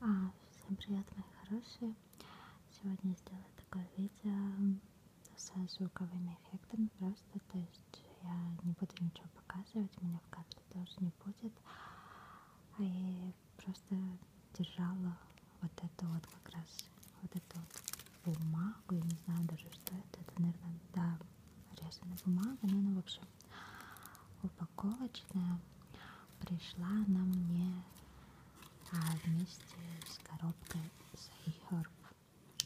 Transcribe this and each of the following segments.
А, всем привет, мои хорошие! Сегодня сделаю такое видео со звуковыми эффектами просто, то есть я не буду ничего показывать, меня в кадре тоже не будет. И а просто держала вот эту вот как раз, вот эту вот бумагу, я не знаю даже что это, это, наверное, да, резаная бумага, но она, в общем, упаковочная пришла она мне а вместе с коробкой Сайхерб,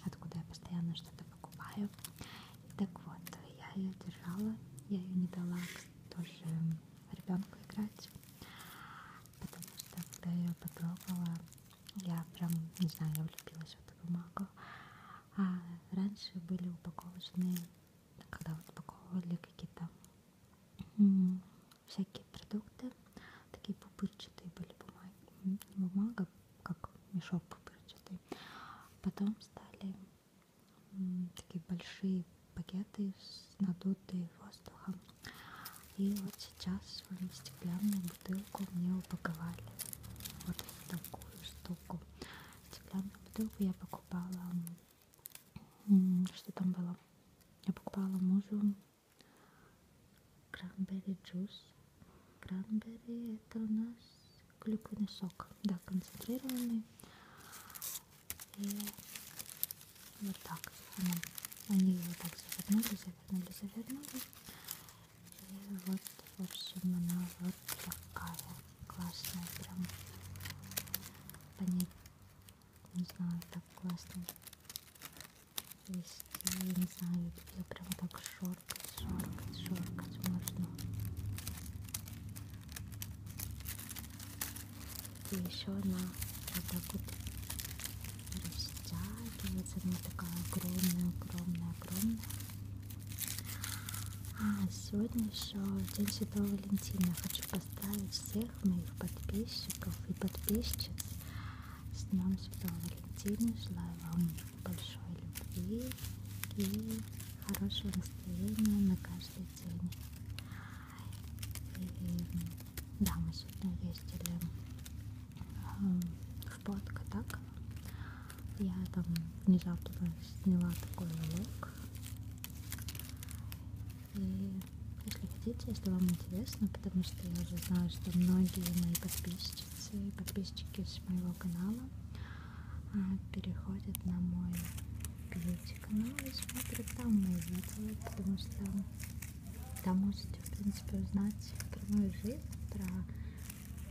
откуда я постоянно что-то покупаю. Так вот, я ее держала, я ее не дала тоже ребенку играть, потому что когда я ее попробовала, я прям, не знаю, я влюбилась в эту бумагу. А раньше были упаковочные когда упаковывали какие-то всякие продукты, такие пупырчатые были бумаги, не бумага, как мешок пупырчатый. Потом стали такие большие пакеты с надутые воздухом. И вот сейчас в стеклянную бутылку мне упаковали вот такую штуку. Стеклянную бутылку я покупала что там было? Я покупала мужу кранберри джус. Кранберри это у нас клюквенный сок. Да, концентрированный. И вот так. Они, они его так завернули, завернули, завернули. И вот, в общем, она вот такая классная, прям по ней, не знаю, так классно вести, я не знаю, ее прям так шоркать, шоркать, шоркать можно. И еще она вот так вот растягивается, она такая огромная, огромная, огромная. А, сегодня еще День Святого Валентина. Хочу поставить всех моих подписчиков и подписчиц с Днем Святого Валентина. Желаю вам большой любви и хорошего настроения на каждый день. И, да, мы сегодня ездили а, в Порт Катак. Я там внезапно сняла такой влог и если хотите, если вам интересно, потому что я уже знаю, что многие мои подписчицы и подписчики с моего канала а, переходят на мой бьюти-канал и смотрят там мои видео, потому что там можете, в принципе, узнать про мою жизнь, про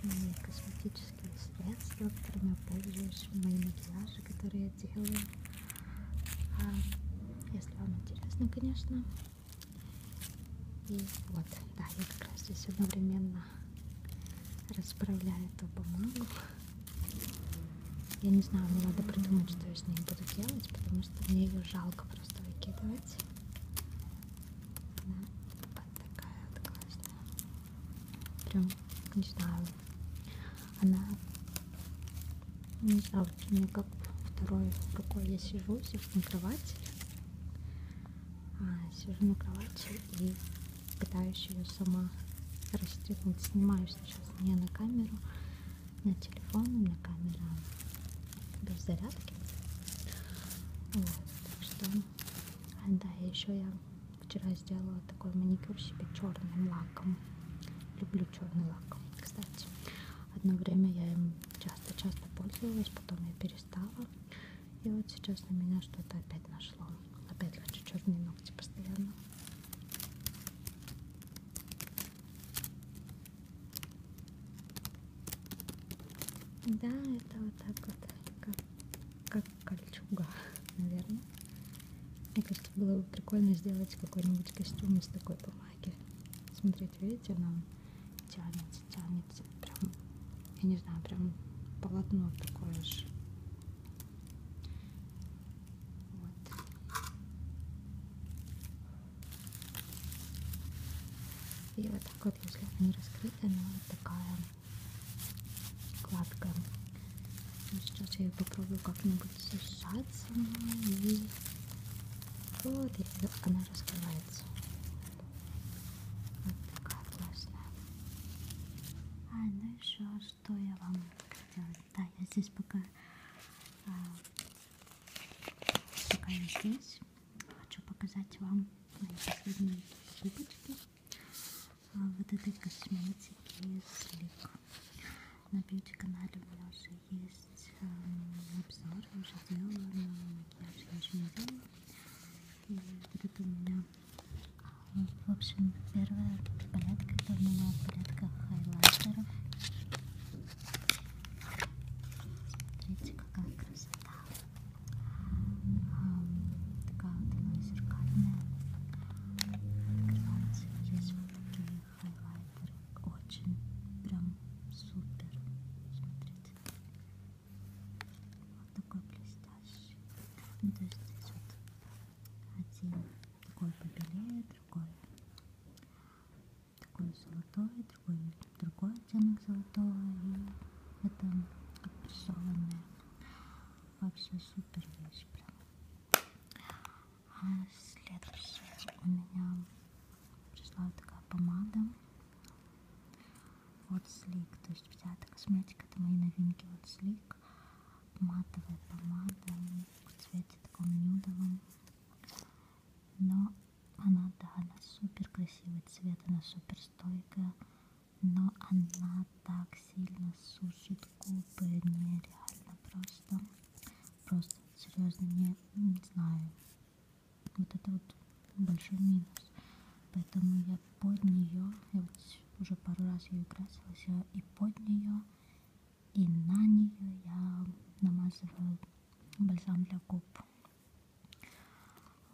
мои косметические косметические средства, которыми я пользуюсь в моем макияже, которые я делаю. А, если вам интересно, конечно. И вот, да, я как раз здесь одновременно расправляю эту бумагу. Я не знаю, мне надо придумать, что я с ней буду делать, потому что мне ее жалко просто выкидывать. Да, вот такая вот классная. Прям, не знаю. Она, не знаю, вот у меня как второй рукой я сижу, сижу на кровати. А, сижу на кровати и пытаюсь ее сама расстегнуть. Снимаю сейчас не на камеру, на телефон, у меня камера без зарядки. Вот, так что, а, да, еще я вчера сделала такой маникюр себе черным лаком. Люблю черный лак. Кстати, одно время я им часто-часто пользовалась, потом я перестала. И вот сейчас на меня что-то опять нашло. Опять хочу черные ногти постоянно. Да, это вот так вот, как, как как кольчуга, наверное. Мне кажется, было бы прикольно сделать какой-нибудь костюм из такой бумаги. Смотрите, видите, она тянется, тянется. Прям, я не знаю, прям полотно такое же. Вот. И вот так вот, если она не раскрыта, она вот такая вкладка. Ну, сейчас я ее попробую как-нибудь сжаться. И вот, и она раскрывается. Вот такая классная. А, ну еще что я вам хотела. Да, я здесь пока... А, пока я здесь. Хочу показать вам мои последние покупочки. А, вот этой косметики из Лик. На бьюти-канале у меня уже есть э, обзор, уже делала, но макияж я еще не делала. И вот это у меня, в общем, первая палетка, это у меня палетка хайлайтеров. Смотрите, какая красота. Такая вот она зеркальная. Открывается. Есть вот такие хайлайтеры. Очень прям супер. Смотрите. Вот такой блестящий. Ну, то есть здесь вот один такой побелее, другой такой золотой, другой другой оттенок золотого. И это прессованное Вообще супер вещь прям. А следующая у меня пришла вот такая помада от Слик. То есть вся эта косметика, это мои новинки от Слик. Матовая помада в цвете таком нюдовом. Но она, да, она супер красивый цвет, она супер стойкая но она так сильно сушит губы, нереально просто, просто, серьезно, не, ну, не знаю, вот это вот большой минус, поэтому я под нее, я вот уже пару раз ее красилась, я и под нее, и на нее я намазываю бальзам для губ.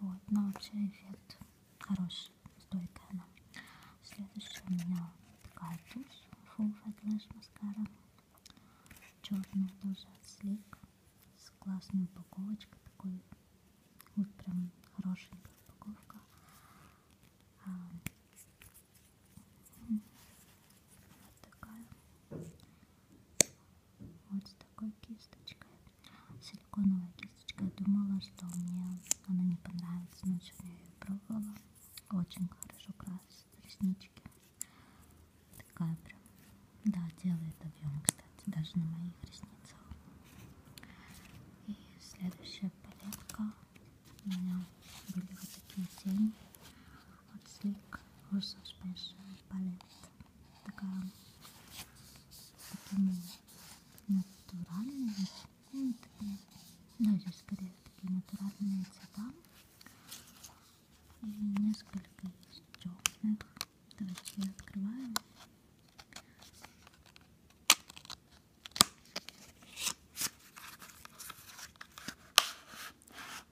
Вот, но вообще эффект Хорошая, стойкая она. Следующая у меня такая тушь. Full Fat Lash Mascara. Черная тоже от Sleek. С классной упаковочкой. Такой вот прям хорошенькая упаковка. А, вот такая. Вот с такой кисточкой. Силиконовая кисточка. Я думала, что мне она не понравится, но сегодня я ее пробовала. Очень хорошо красит реснички. Такая прям. Да, делает объем, кстати, даже на моих ресницах. И следующая палетка. У меня были вот такие тени от Sleek Russo Special Palette. Такая такими натуральные такие, ну здесь скорее такие натуральные цвета и несколько из темных давайте я открываю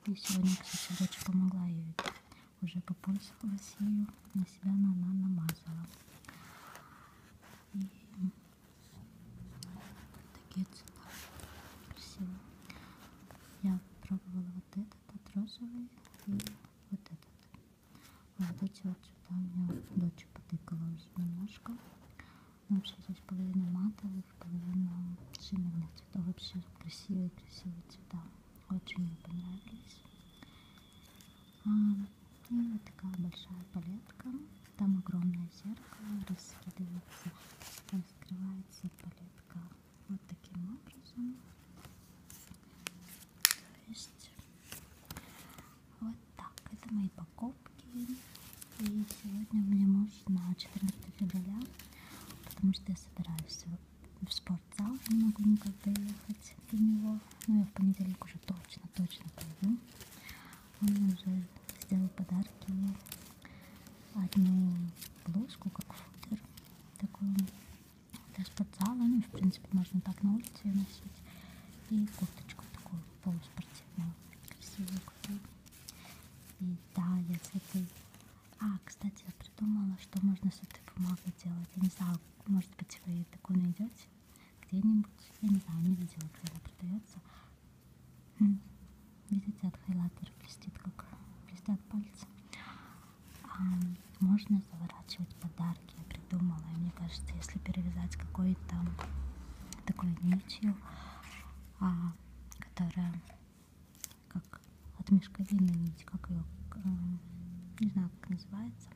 и сегодня кстати дочь помогла ей уже попользовалась ею, на себя она намазала. И такие цвета красивые. Я пробовала вот этот, от розовый и вот этот. Вот эти вот цвета у меня дочь потыкала уже немножко. Но вообще здесь половина матовых, половина шиммерных цветов. Вообще красивые-красивые цвета. Очень мне понравились. А, и ну, вот такая большая палетка. Там огромное зеркало раскидывается, раскрывается палетка вот таким образом. То есть вот так. Это мои покупки. И сегодня мне муж на 14 февраля, потому что я собираюсь вспомнить вокзал, не могу никак доехать до него. Но ну, я в понедельник уже точно, точно пойду. Он уже сделал подарки. Одну блузку, как футер, такую для спортзала. в принципе, можно так на улице ее носить. И курточку такую полуспортивную, красивую купил. И да, я с этой а, кстати, я придумала, что можно с этой бумагой делать. Я не знаю, может быть, вы такую найдете где-нибудь. Я не знаю, не видела, где она продается. Видите, от хайлайтера блестит, как блестят пальцы. А, можно заворачивать подарки, я придумала. И мне кажется, если перевязать какой-то такой нитью, а, которая как от мешковины нить, как ее, э, не знаю, как называется.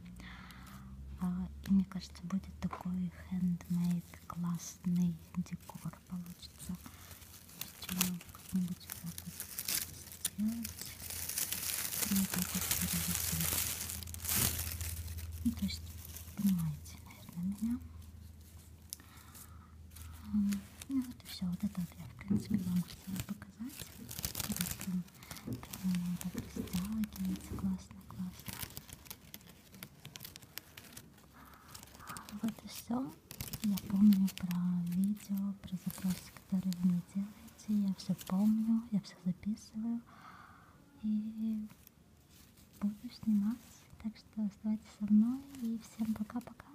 А, и мне кажется, будет такой handmade классный декор получится. Как-нибудь вот так вот сделать. И ну, вот так вот перевесить. Ну, то есть, понимаете, наверное, меня. Ну вот и все. Вот это вот я, в принципе, вам хотела показать. Там кристаллы, кинется классно, классно. Вот и все. Я помню про видео, про запросы, которые вы мне делаете. Я все помню, я все записываю. И буду снимать. Так что оставайтесь со мной. И всем пока-пока.